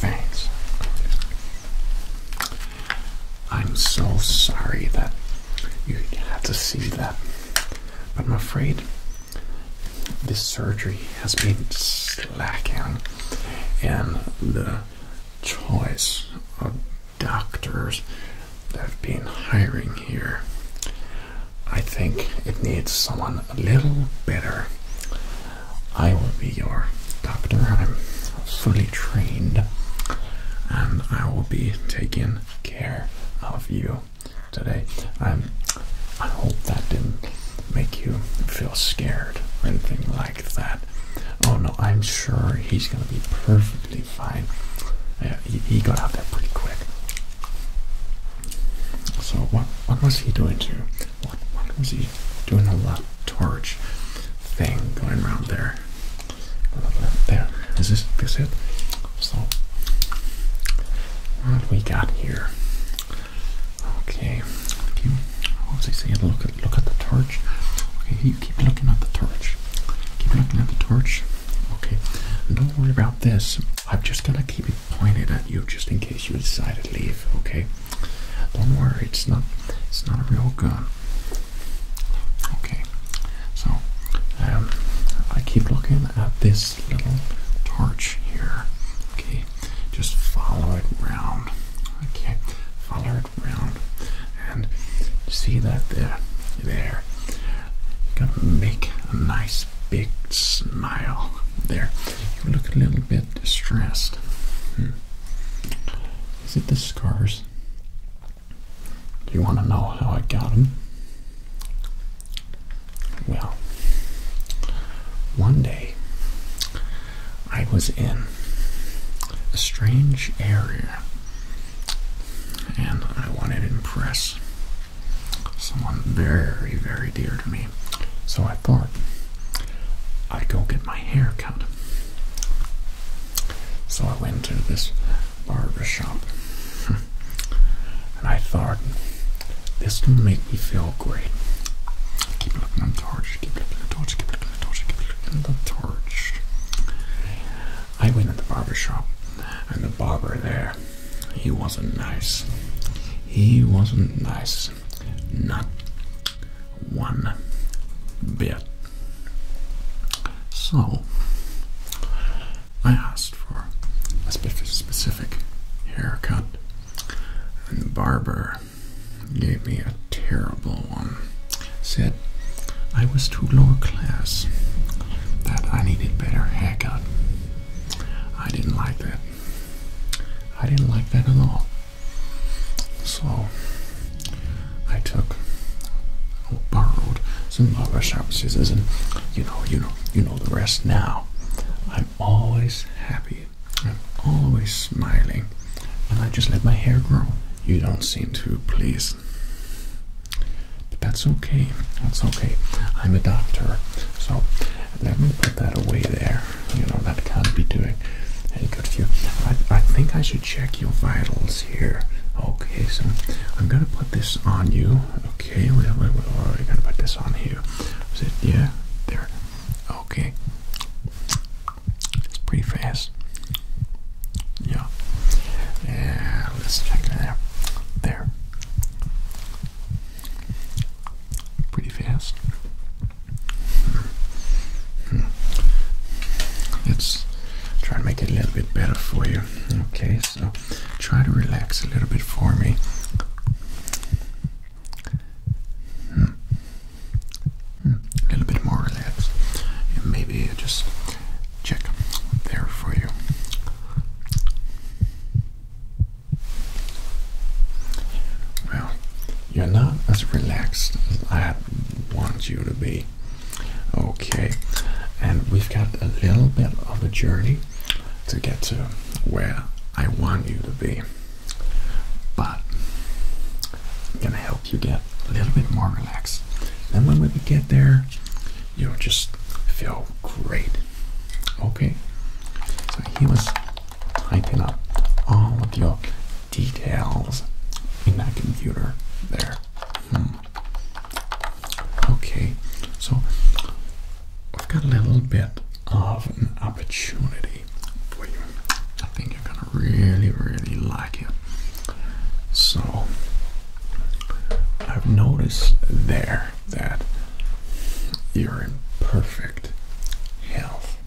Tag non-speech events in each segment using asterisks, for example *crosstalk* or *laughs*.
Thanks. I'm so sorry that you had to see that, but I'm afraid this surgery has been slacking, and the choice of doctors that have been hiring here I think it needs someone a little better. I will be your doctor. I'm fully trained and I will be taking care of you today. i hope that didn't make you feel scared or anything like that. Oh no, I'm sure he's gonna be perfectly fine. Yeah, he got out there pretty quick. So what what was he doing to? What what was he doing a lot torch thing going around there? There. Is this this it? So what we got here? Okay. If you what was he saying? Look at look at the torch. Okay, you keep looking at the torch. Keep looking at the torch. Okay. Don't worry about this. I'm just gonna keep it be pointed at you just in case you decide to leave. Okay, don't worry, it's not it's not a real gun. Okay, so um, I keep looking at this little torch here. Okay, just follow it round. Okay, follow it round, and see that there, there. You're gonna make a nice big smile there. You look a little bit distressed. Hmm. Is it the scars? Do you want to know how I got them? Well, one day I was in a strange area and I wanted to impress someone very, very dear to me. So I thought I'd go get my hair cut. So I went to this barber shop and I thought this will make me feel great. Keep looking at the torch, keep looking at the torch, keep looking at the torch, I went in the barber shop and the barber there he wasn't nice. He wasn't nice. Not one bit. So, I asked for a specific haircut, and the barber gave me a terrible one. Said I was too lower class, that I needed better haircut. I didn't like that. I didn't like that at all. So I took borrowed some barber sharp scissors and you know, you know, you know the rest now. I'm always happy. I'm always smiling. And I just let my hair grow. You don't seem to please. But that's okay. That's okay. I'm a doctor. So let me that away there. You know, that can't be doing any good for you. I, think I should check your vitals here. Okay, so I'm gonna put this on you. Okay, we're gonna put this on here. Is it, yeah, there. Okay. It's pretty fast. Yeah. Yeah, let's check it out. There pretty fast. Hmm. Let's try to make it a little bit better for you. Okay, so try to relax a little bit for me. Hmm. Hmm. A little bit more relaxed. And maybe just check there for you. Well, you're not as relaxed as I want you to be. Okay, and we've got a little bit of a journey to get to where I want you to be, but I'm gonna help you get a little bit more relaxed. and when we get there, you'll just feel Great. Okay. So he was typing up all of your details in that computer there. Hmm. Okay, so I've got a little bit of an opportunity for you. I think you're gonna really, really like it. So I've noticed there that you're in perfect health.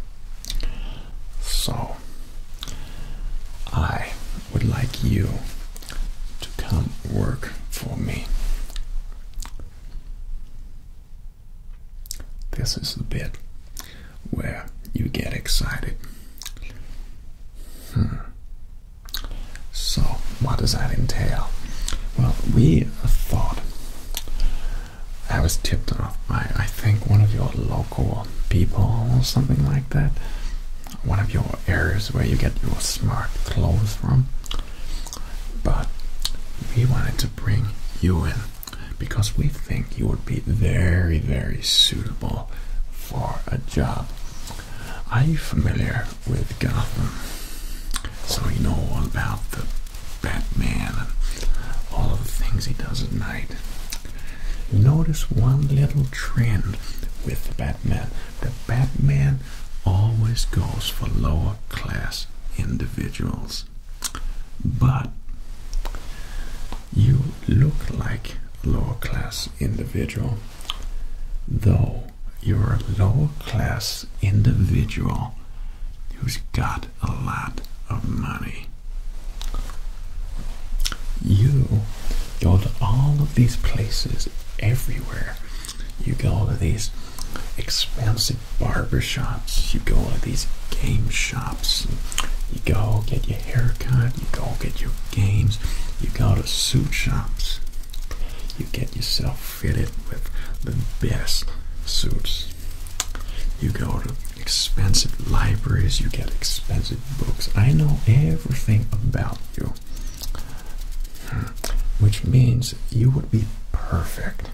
So, I would like you to come work for me. This is the bit where you get excited. Hmm. So, what does that entail? Well, we thought I was tipped off by, I think, one of your local people or something like that. One of your areas where you get your smart clothes from. But we wanted to bring you in because we think you would be very, very suitable for a job. Are you familiar with Gotham. So you know all about the Batman and all of the things he does at night. Notice one little trend with the Batman. The Batman always goes for lower class individuals. But you look like a lower class individual, though you're a lower class individual who's got a lot of money. You go to all of these places everywhere. You go to these expensive barber shops. You go to these game shops. You go get your haircut. You go get your games. You go to suit shops. You get yourself fit it with the best suits. You go to expensive libraries, you get expensive books. I know everything about you, hmm. which means you would be perfect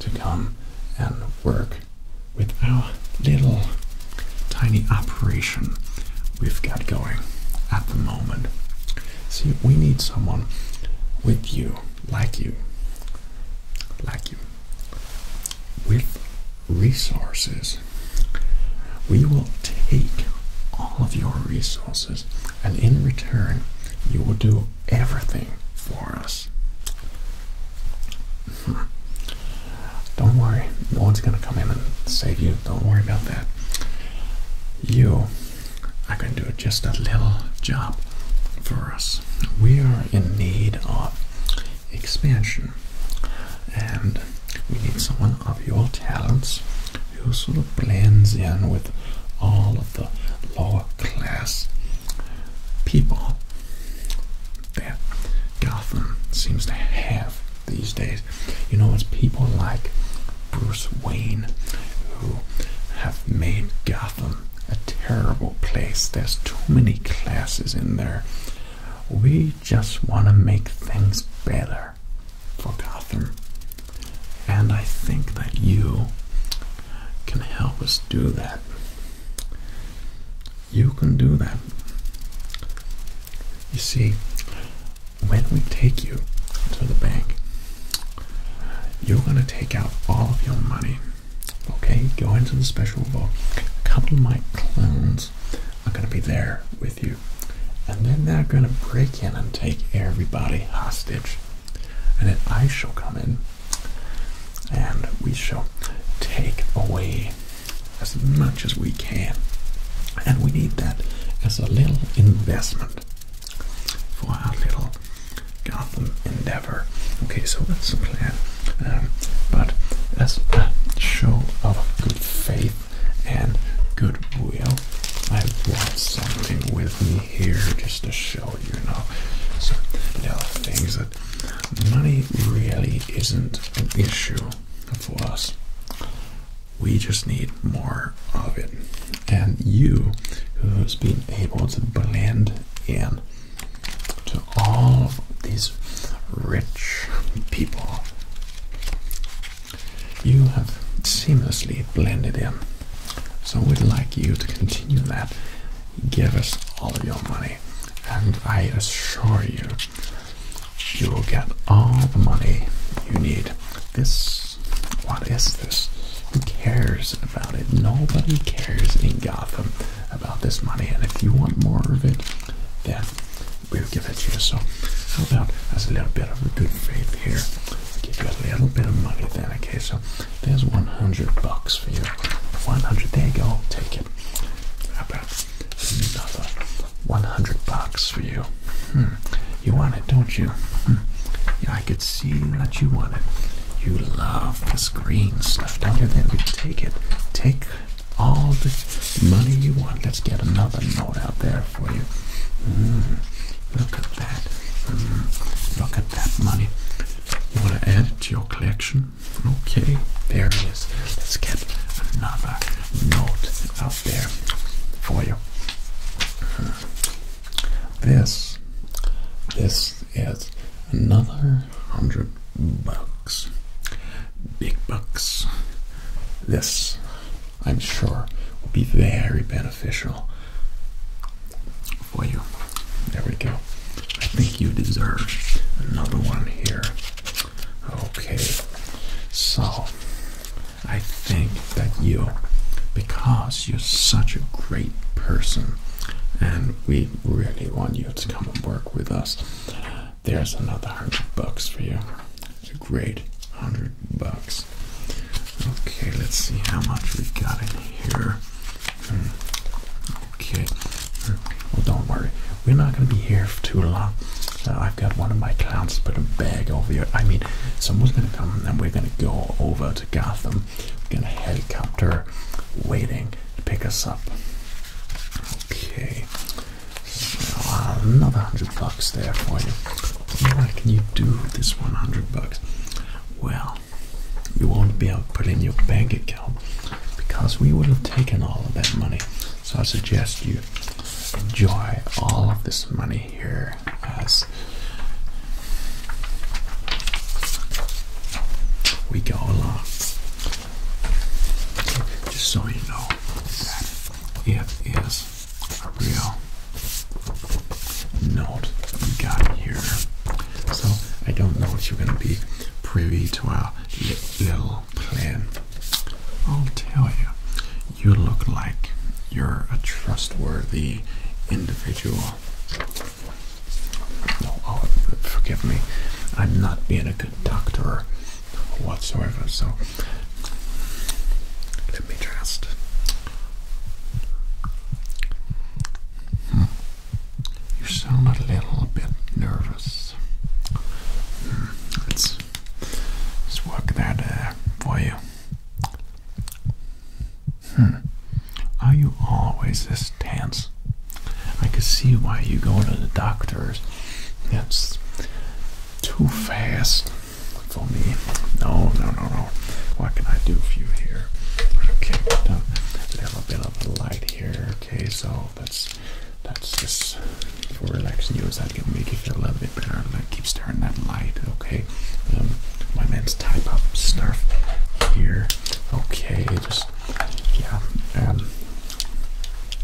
to come and work with our little tiny operation we've got going at the moment. See, we need someone with you, like you, like you, with resources. We will take all of your resources, and in return, you will do everything for us. *laughs* Don't worry, no one's going to come in and save you. Don't worry about that. You I can do just a little job for us. We are in need of expansion, and we need someone of your talents who sort of blends in with all of the lower class people that Gotham seems to have these days. You know, it's people like Bruce Wayne, who have made Gotham a terrible place. There's too many classes in there. We just want to make things better for Gotham. And I think that you can help us do that. You can do that. You see, when we take you to the bank, you're going to take out all of your money. Okay, go into the special book. A couple of my clones are going to be there with you. And then they're going to break in and take everybody hostage. And then I shall come in and we shall take away as much as we can. And we need that as a little investment for our little garden endeavor. Okay, so that's the plan. Um, but as a show of good faith and goodwill, I brought something with me here just to show you now. So there are things that money really isn't an issue for us we just need more of it. And you, who's been able to blend in to all of these rich people, you have seamlessly blended in. So we'd like you to continue that. Give us all of your money, and I assure you, you will get all the money you need. This what is this? Who cares about it? Nobody cares in Gotham about this money, and if you want more of it, then we'll give it to you. So, how about as a little bit of a good faith here? give you a little bit of money then, okay? So, there's 100 bucks for you. 100, there you go, take it. How about another 100 bucks for you? Hmm, you want it, don't you? Hmm, yeah, I could see that you want it. You love this green stuff, don't you? Then you take it. Take all the money you want. Let's get another note out there for you. Mm. look at that. Mm. look at that money. You want to add it to your collection? Okay, there it is. Let's get another note out there for you. Mm. This, this is another hundred bucks. Big bucks. This, I'm sure, will be very beneficial for you. There we go. I think you deserve another one here. Okay, so I think that you, because you're such a great person and we really want you to come and work with us, there's another hundred bucks for you. It's a great hundred bucks. Okay, let's see how much we got in here. Hmm. Okay. Well, don't worry. We're not going to be here for too long. Uh, I've got one of my clowns to put a bag over your. I mean, someone's going to come and we're going to go over to Gotham. we have got a helicopter waiting to pick us up. Okay, another hundred bucks there for you. What can you do with this 100 bucks? Well, you won't be able to put it in your bank account because we would have taken all of that money. So I suggest you enjoy all of this money hear as we go along. Just so you know that it is a real note we got here. So I don't know if you're going to be privy to our little plan. I'll tell you you look like you're a trustworthy individual. No, oh, forgive me. I'm not being a good doctor whatsoever, so let me just. Hmm. You sound a little bit nervous. Hmm, let's, let work that uh, for you. Hmm. Are you always this tense? I can see why you go to the doctors. That's too fast for me. No, no, no, no. What can I do for you here? Okay, little bit of light here. Okay, so that's that's just for relaxing you. so that can make you feel a little bit better? keep staring at that light. Okay, um, my man's type up stuff here. Okay, just yeah. Um,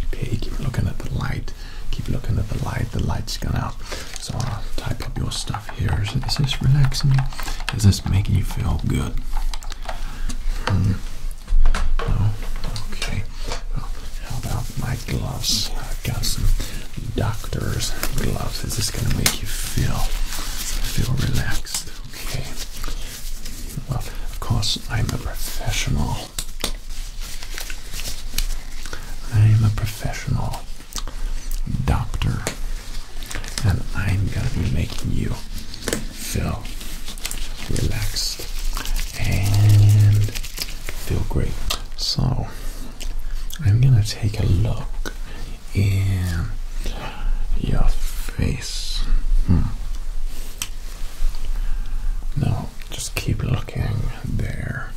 okay, keep looking at the light. Keep looking at the light. The light's gone out. So I'll type up your stuff here. Is, is this relaxing you? Is this making you feel good? No. Hmm. Oh, okay. how about my gloves. I've got some doctor's gloves. This is gonna make you feel feel relaxed. Okay. Well, of course I'm a professional. I'm a professional doctor. And I'm gonna be making you feel relaxed and feel great. So I'm gonna take a look in your face. Hmm. Now just keep looking there.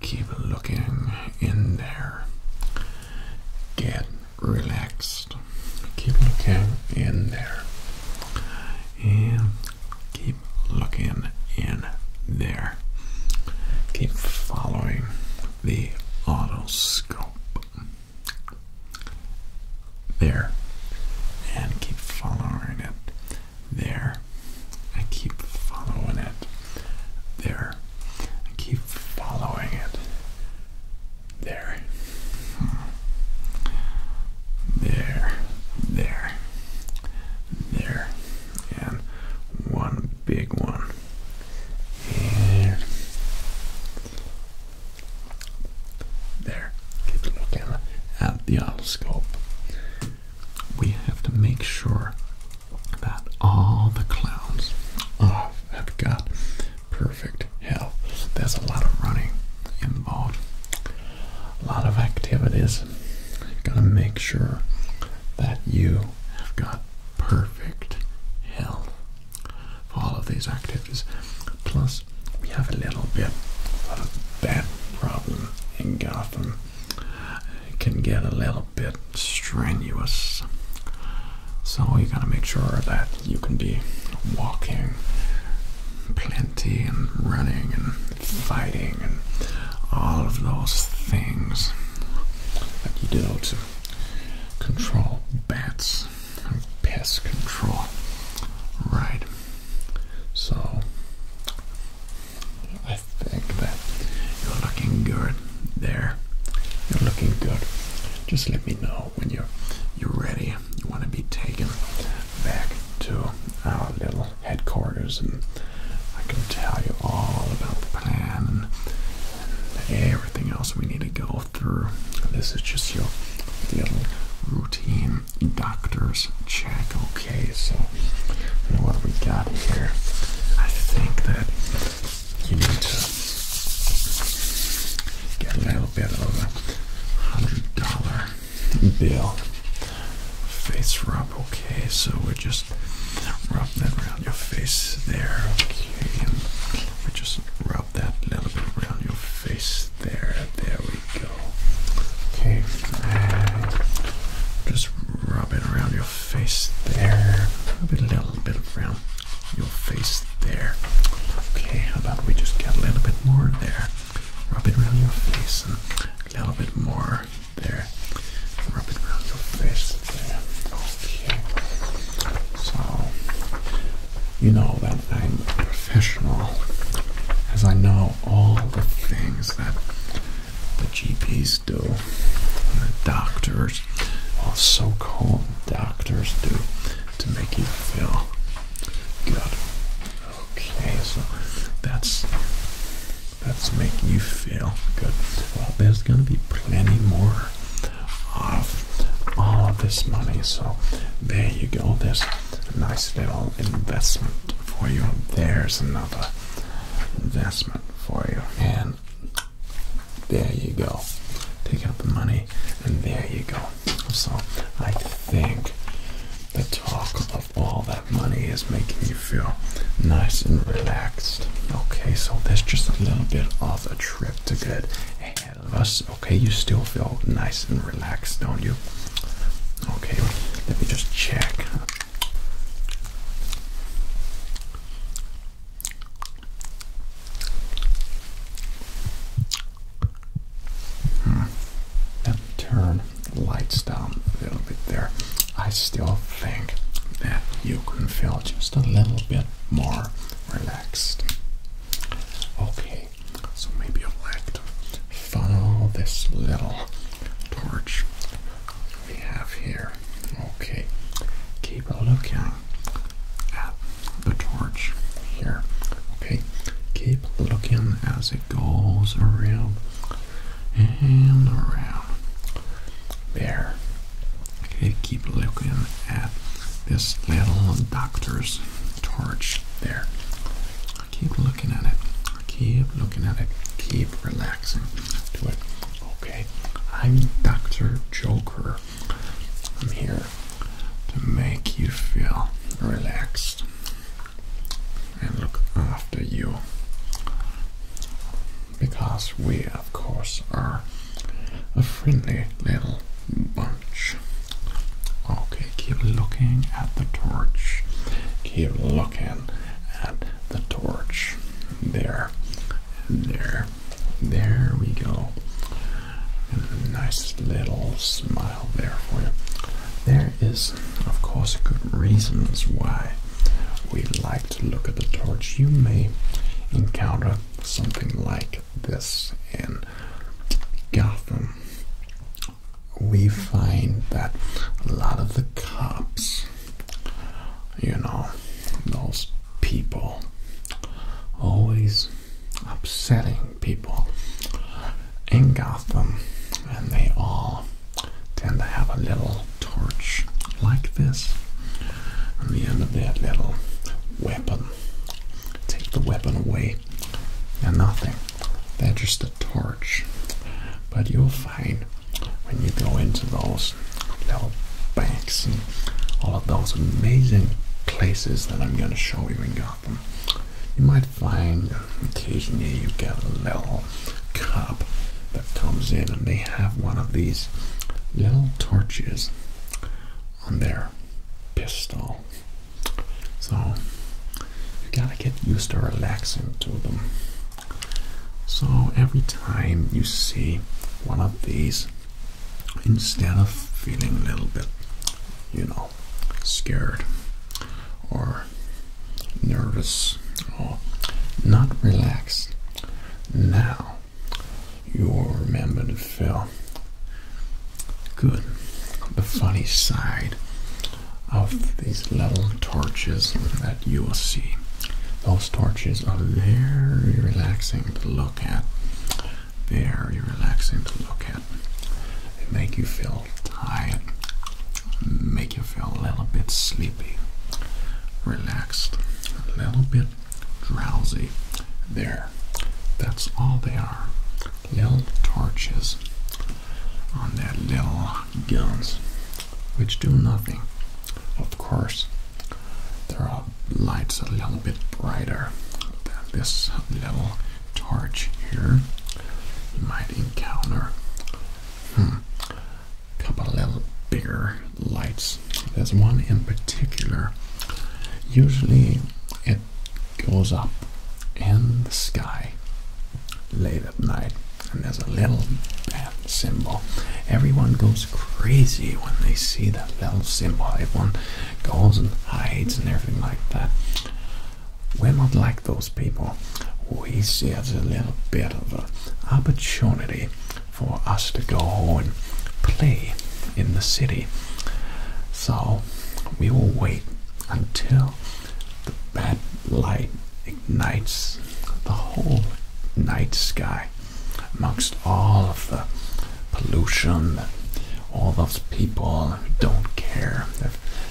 Keep looking in there. Get relaxed. Keep looking in there. And keep looking in there. Keep following the autoscope. There. And keep following it. There. And keep following it. There. And keep following it. There. Hmm. There. There. There and one big one. And there, keep at the telescope. We have to make sure that all the clouds have got perfect health. There's a lot of running involved, a lot of activities. You've got to make sure that you have got perfect health for all of these activities. Plus, we have a little bit of a bad problem in Gotham. It can get a little bit strenuous. So you gotta make sure that you can be walking plenty and running and fighting and all of those things that you do to control bats and pest control. Right. So I think that you're looking good there. You're looking good. Just let me know when you're you're ready. You want to be taken back to our little headquarters, and I can tell you all about the plan and, everything else we need to go through. This is just your little routine doctor's check, okay? So, you know what we got here? I think that you need to get a little bit of a hundred dollar bill face rub, okay? So we're just just rub that around your face there. Okay. We just rub that little bit around your face there. There we go. Okay. just rub it around your face there. Rub it a little bit around your face there. Okay, how about we just get a little bit more there? Rub it around your face and a little bit more there. Rub it around your face there. Okay. So, you know that I'm professional as I know all the things that the GPs do, and the doctors, all so called doctors do to make you feel good. Okay, so that's that's making you feel good. Well, there's going to be plenty more of all of this money. So there you go. There's a nice little investment for you. There's another investment for you. And there you go. Take out the money, and there you go. So I think the talk of all that money is making you feel nice and relaxed. Okay, so that's just a little bit off a trip to get ahead of us. Okay, you still feel nice and relaxed, don't you? Okay, let me just check. Hmm. turn lights down a little bit there. I still think that you can feel just a little bit more relaxed. Okay, so maybe I'll let to this little torch we have here. Okay, keep looking at the torch here. Okay, keep looking as it goes around and around there. Okay, keep looking at this little doctor's torch there. Keep looking at it. Keep looking at it. Keep relaxing to it. Okay, I'm Dr. Joker. I'm here to make you feel relaxed and look after you because we, of course, are a friendly little bunch. Okay, keep looking at the torch, keep looking at the torch. There, there, there we go. And a nice little smile there for you. There is, of course, good reasons why we like to look at the torch. You may encounter something like this in Gotham. We find that a lot of the cops, you know, those people, always upsetting people in Gotham, and they all tend to have a little torch like this on the end of that little weapon. Take the weapon away and nothing. That's just a torch. But you'll find when you go into those little banks and all of those amazing places that I'm going to show you in Gotham, you might find occasionally you get a little cop that comes in and they have one of these little torches on their pistol. So you gotta get used to relaxing to them. So every time you see one of these, instead of feeling a little bit, you know, scared, or nervous or not relaxed. Now you will remember to feel good. The funny side of these little torches that you will see. Those torches are very relaxing to look at. Very relaxing to look at. They make you feel tired make you feel a little bit sleepy, relaxed, a little bit drowsy. There, that's all they are. Little torches on their little guns, which do nothing. Of course, there are lights a little bit brighter than this little torch here. You might encounter Hmm. Couple of little bigger lights. There's one in particular. Usually it goes up in the sky late at night, and there's a little symbol. Everyone goes crazy when they see that little symbol. Everyone goes and hides and everything like that we're not like those people. We see it as a little bit of an opportunity for us to go and play in the city. So we will wait until the bad light ignites the whole night sky amongst all of the pollution, all those people who don't care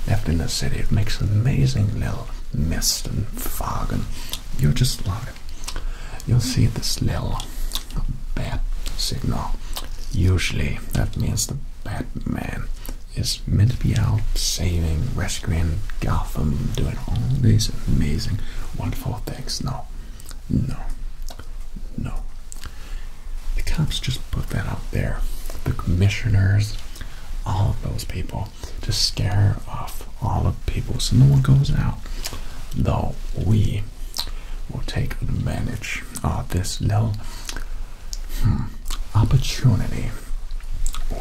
left in the city. It makes amazing little mist and fog, and you just love it. You'll see this little bat signal. Usually, that means the Batman is meant to be out saving, rescuing Gotham, doing all these amazing, wonderful things. No, no, no. The cops just put that up there. The commissioners, all of those people to scare off all of people so no one goes out. Though we will take advantage of this little hmm, opportunity,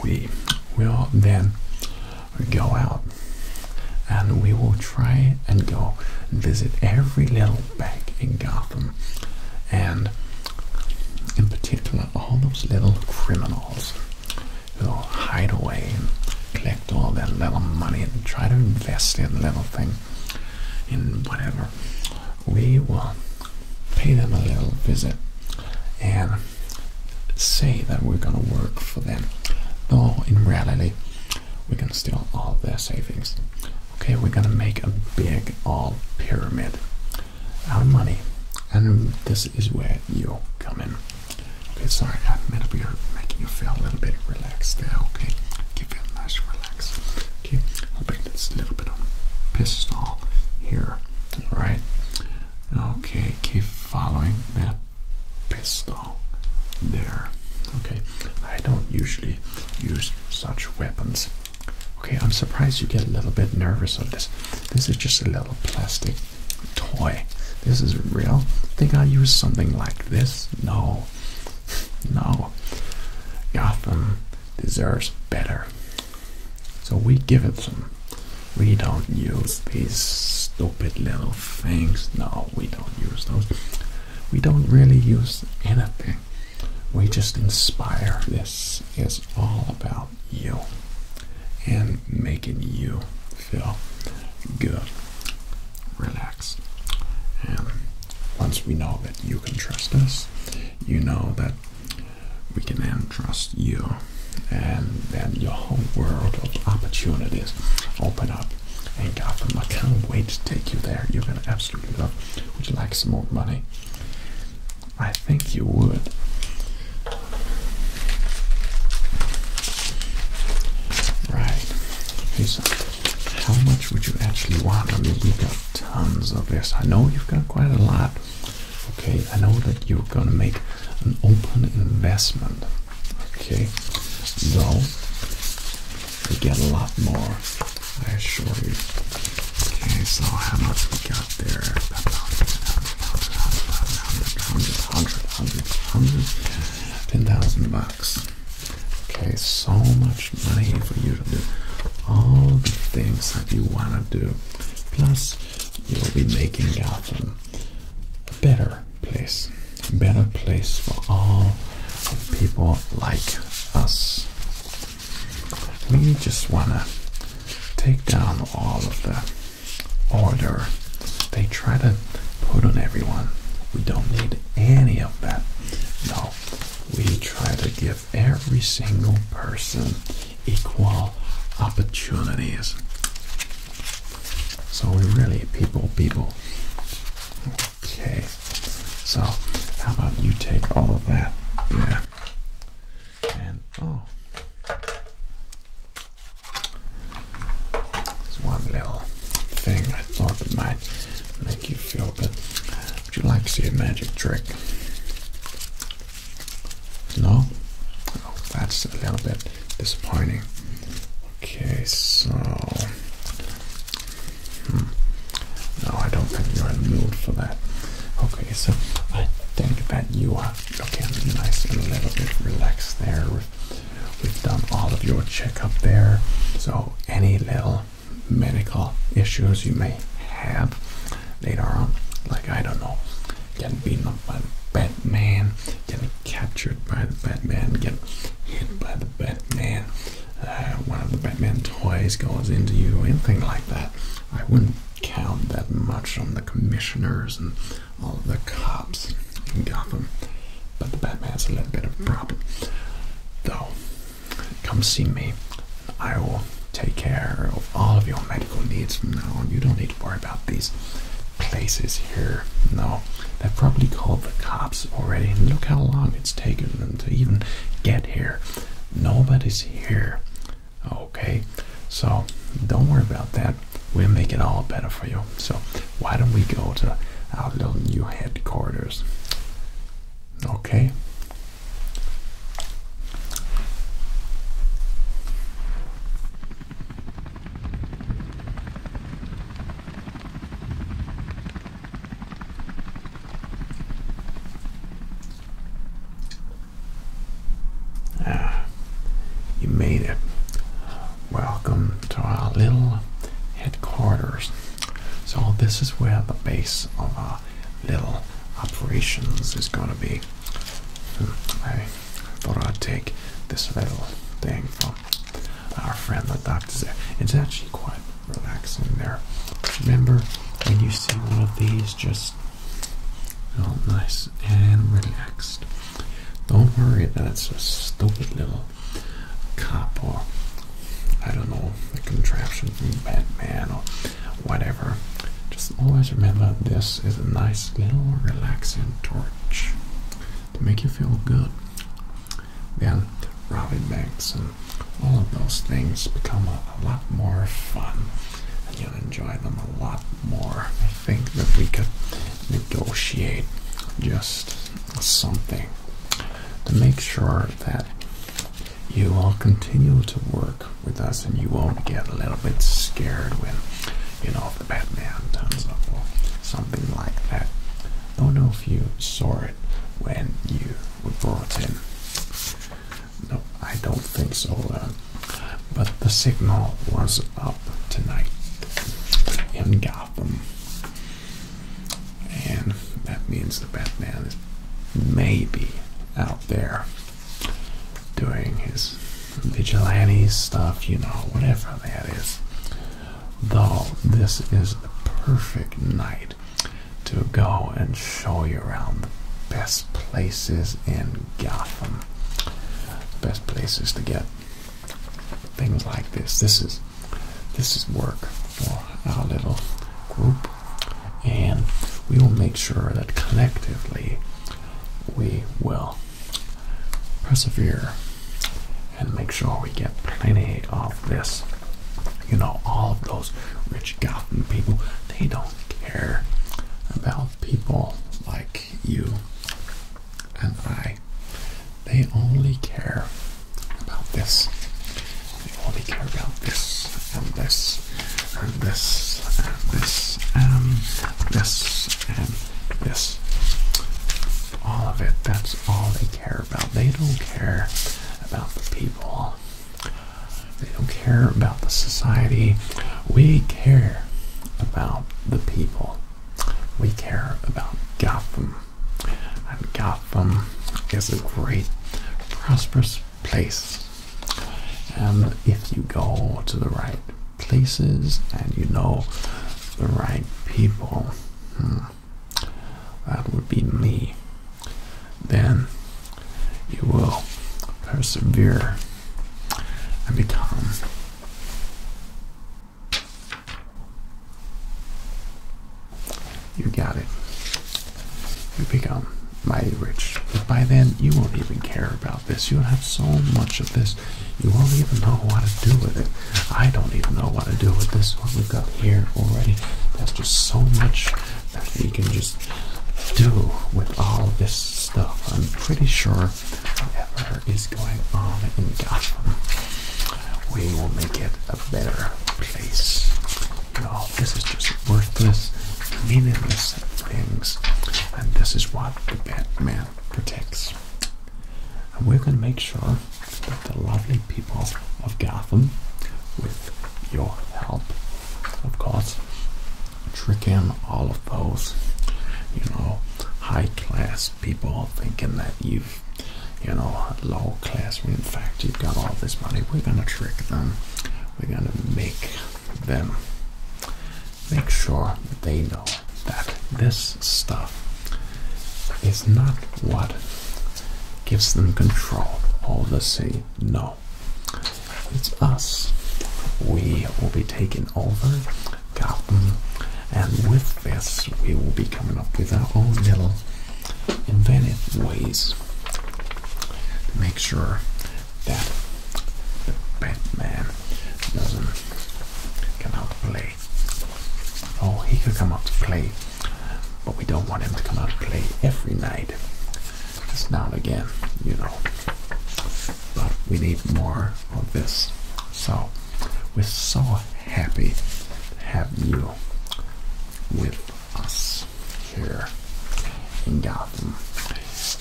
we will then go out and we will try and go and visit every little bank in Gotham and in particular all those little criminals who hide away and collect all their little money and try to invest in little things in whatever. We will pay them a little visit and say that we're gonna work for them. Though in reality we're gonna steal all their savings. Okay, we're gonna make a big all pyramid out of money, and this is where you come in. Okay, sorry, I admit we are making you feel a little bit relaxed Okay, give you a nice relax. Okay, I'll bring this little bit of pistol here, right? Okay, keep following that pistol there. Okay, I don't usually use such weapons Okay, I'm surprised you get a little bit nervous of this. This is just a little plastic toy. This is real. Think I use something like this? No. *laughs* No. Gotham deserves better. So we give it some. We don't use these stupid little things. No, we don't use those. We don't really use anything. We just inspire. This is all about you and making you feel good, relaxed. And once we know that you can trust us, you know that we can then trust you, and then your whole world of opportunities open up. And Gotham, I can't wait to take you there. You're gonna absolutely love. Would you like some more money? I think you would. Right. Okay, so how much would you actually want? I mean, we've got tons of this. I know you've got quite a lot. Okay, I know that you're gonna make an open investment. Okay, So, we get a lot more. I assure you. Okay, so how much we got there? About 100, 100, 100, 10,000 bucks. Okay, so much money for you to do all the things that you want to do. Plus, you'll be making Gotham a better place. A better place for all people like us we just want to take down all of the order they try to put on everyone. We don't need any of that. No, we try to give every single person equal opportunities. So we're really people, people. Okay, so how about you take all of that? Yeah. And oh, there's one little thing I thought might make you feel good. Would you like to see a magic trick? No? Oh, that's a little bit disappointing. Okay, so. Hmm. No, I don't think you're in the mood for that. Okay, so I think that you are okay. nice and a little bit relaxed there. We've, done all of your checkup there. So any little medical issues you may have later on, like I don't know, getting beaten up by Batman, getting captured by the Batman, getting hit by the Batman, uh, one of the Batman toys goes into you, anything like that. I wouldn't count that much on the commissioners and all the cops in Gotham, but the Batman a little bit of problem. Though, come see me. I will take care of all of your medical needs from now on. You don't need to worry about these places here. No, they've probably called the cops already. look how long it's taken them to even get here. Nobody's here. Okay, so don't worry about that. We'll make it all better for you. So why don't we go to our little new headquarters? Okay. Ah, you made it. Welcome to our little headquarters. So this is where the base of our little operations is going to be. Hmm, I thought I'd take this little thing from our friend the doctor. It's actually quite relaxing there. Remember when you see one of these? just all nice and relaxed. Don't worry that it's a stupid little cop or I don't know, a contraption from Batman or whatever. Just always remember this is a nice little relaxing torch to make you feel good. Then Robbie Banks and all of those things become a a lot more fun and you'll enjoy them a lot more. I think that we could negotiate just something to make sure that you will continue to work with us and you won't get a little bit scared when, you know, the Batman comes up or something like that. I don't know if you saw it when you were brought in. No, I don't think so. Uh, but the signal was up tonight in Gotham. And that means the Batman is maybe out there doing his vigilante stuff, you know, whatever that is. Though this is the perfect night to go and show you around the best places in Gotham. Best places to get things like this. This is this is work for our little group, and we will make sure that collectively we will persevere and make sure we get plenty of this. You know, all of those rich. Gotham people, they don't care about people like you and I. They only care about this. They only care about this and this and this and this and this and this. All of it. That's all they care about. They don't care about the people they don't care about the society. We care about the people. We care about Gotham. And Gotham is a great, prosperous place. And if you go to the right places and you know the right people, hmm, that would be me then you will persevere and become you got it you become mighty rich but by then you won't even care about this you'll have so much of this you won't even know what to do with it i don't even know what to do with this one we've got here already there's just so much that we can just do with all this stuff. I'm pretty sure whatever is going on in Gotham, we will make it a better place. You this is just worthless, meaningless things, and this is what the Batman protects. And we're going to make sure that the lovely people of Gotham, with your help, of course. Tricking all of those, you know, high class people thinking that you've, you know, low class when in fact you've got all this money. We're gonna trick them. We're gonna make them make sure they know that this stuff is not what gives them control All the same, no it's us. We will be taking over Gotham, and with this, we will be coming up with our own little invented ways to make sure that Batman doesn't come out to play. Oh, he could come out to play, but we don't want him to come out to play every night. It's not again, you know. But we need more of this. So we're so happy to have you with us here in Gotham.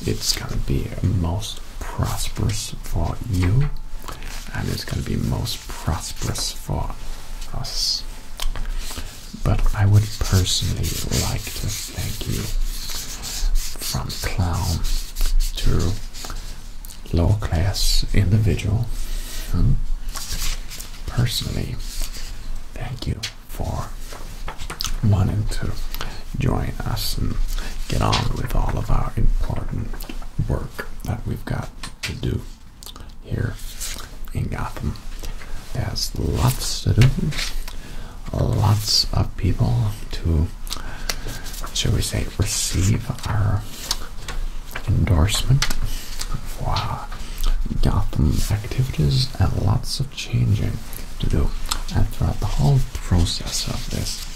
It's going to be most prosperous for you, and it's going to be most prosperous for us. But I would personally like to thank you from clown to lower class individual. Hmm? Personally, thank you for wanting to join us and get on with all of our important work that we've got to do here in Gotham. There's lots to do, lots of people to, shall we say, receive our endorsement for Gotham activities and lots of changing to do. And throughout the whole process of this,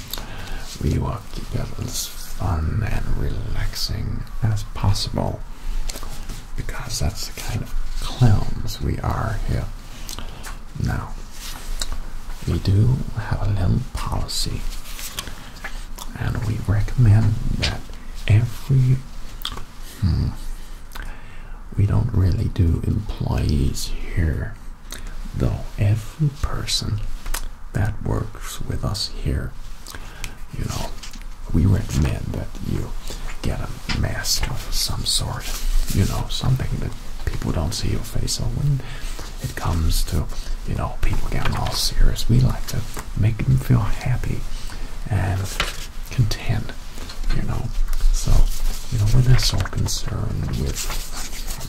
we will keep it as fun and relaxing as possible because that's the kind of clowns we are here. Now, we do have a little policy, and we recommend that every hmm, we don't really do employees here, though every person that works with us here you know, we recommend that you get a mask of some sort, you know, something that people don't see your face. So when it comes to, you know, people getting all serious, we like to make them feel happy and content, you know. So, you know, we're not so concerned with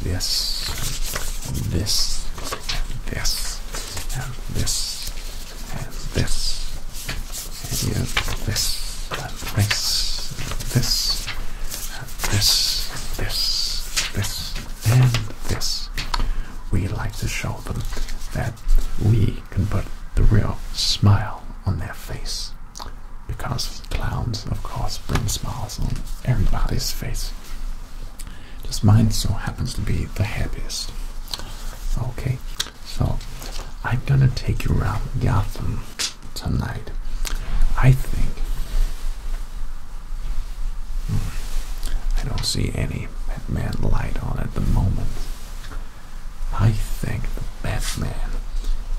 this, and this, and this, and this, and this, and you this, and this, and this, and this, and this, this, and this. We like to show them that we can put the real smile on their face. Because clowns, of course, bring smiles on everybody's face. Just mine so happens to be the happiest. Okay, so, I'm gonna take you around Gotham tonight. I think. Hmm, I don't see any Batman light on at the moment. I think the Batman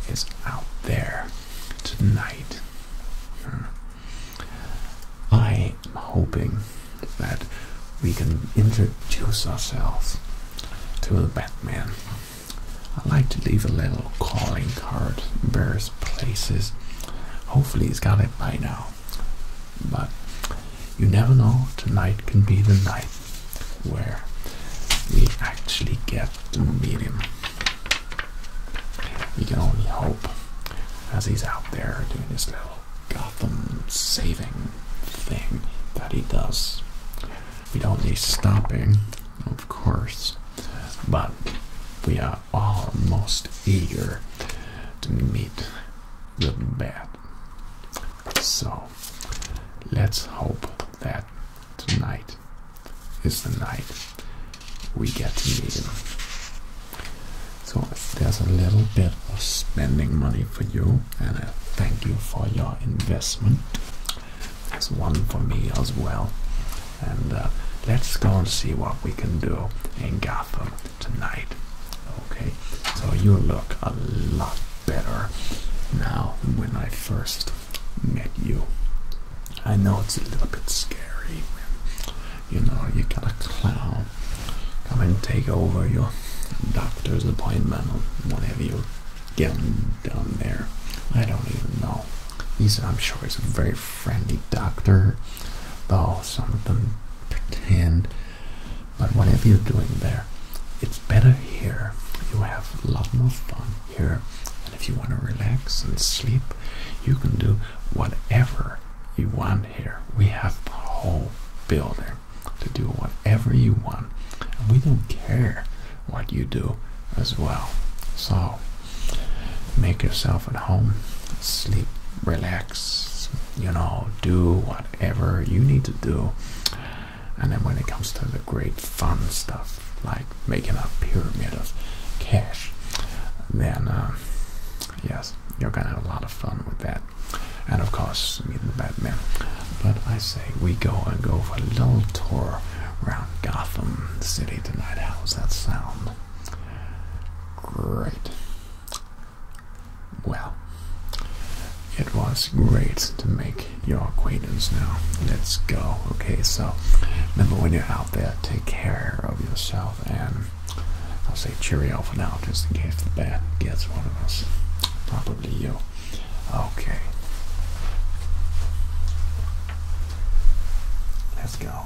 is out there tonight. Hmm. I am hoping that we can introduce ourselves to the Batman. I like to leave a little calling card in various places. Hopefully, he's got it by now. But you never know, tonight can be the night where we actually get to meet him. We can only hope as he's out there doing his little Gotham saving thing that he does. We don't need stopping, of course, but we are almost eager to meet the bad. So let's hope that tonight is the night we get to meet him. So there's a little bit of spending money for you, and uh, thank you for your investment. It's one for me as well. And uh, let's go and see what we can do in Gotham tonight. Okay, so you look a lot better now than when I first met you. I know it's a little bit scary. You know, you got a clown come and take over your doctor's appointment or whatever you're getting done there. I don't even know. He's, I'm sure he's a very friendly doctor, though some of them pretend. But whatever you're doing there, it's better here. You have a lot more fun here. And if you want to relax and sleep, you can do whatever you want here. We have the whole building to do whatever you want. we don't care what you do as well. So make yourself at home, sleep, relax, you know, do whatever you need to do. And then when it comes to the great fun stuff, like making a pyramid of cash, then uh, yes, you're gonna have a lot of fun with that. And of course, meet the Batman. But I say we go and go for a little tour around Gotham City tonight. How does that sound? Great. Well, it was great to make your acquaintance now. Let's go. Okay, so remember when you're out there, take care of yourself and I'll say cheerio for now just in case the bat gets one of us. Probably you. Okay. Let's go.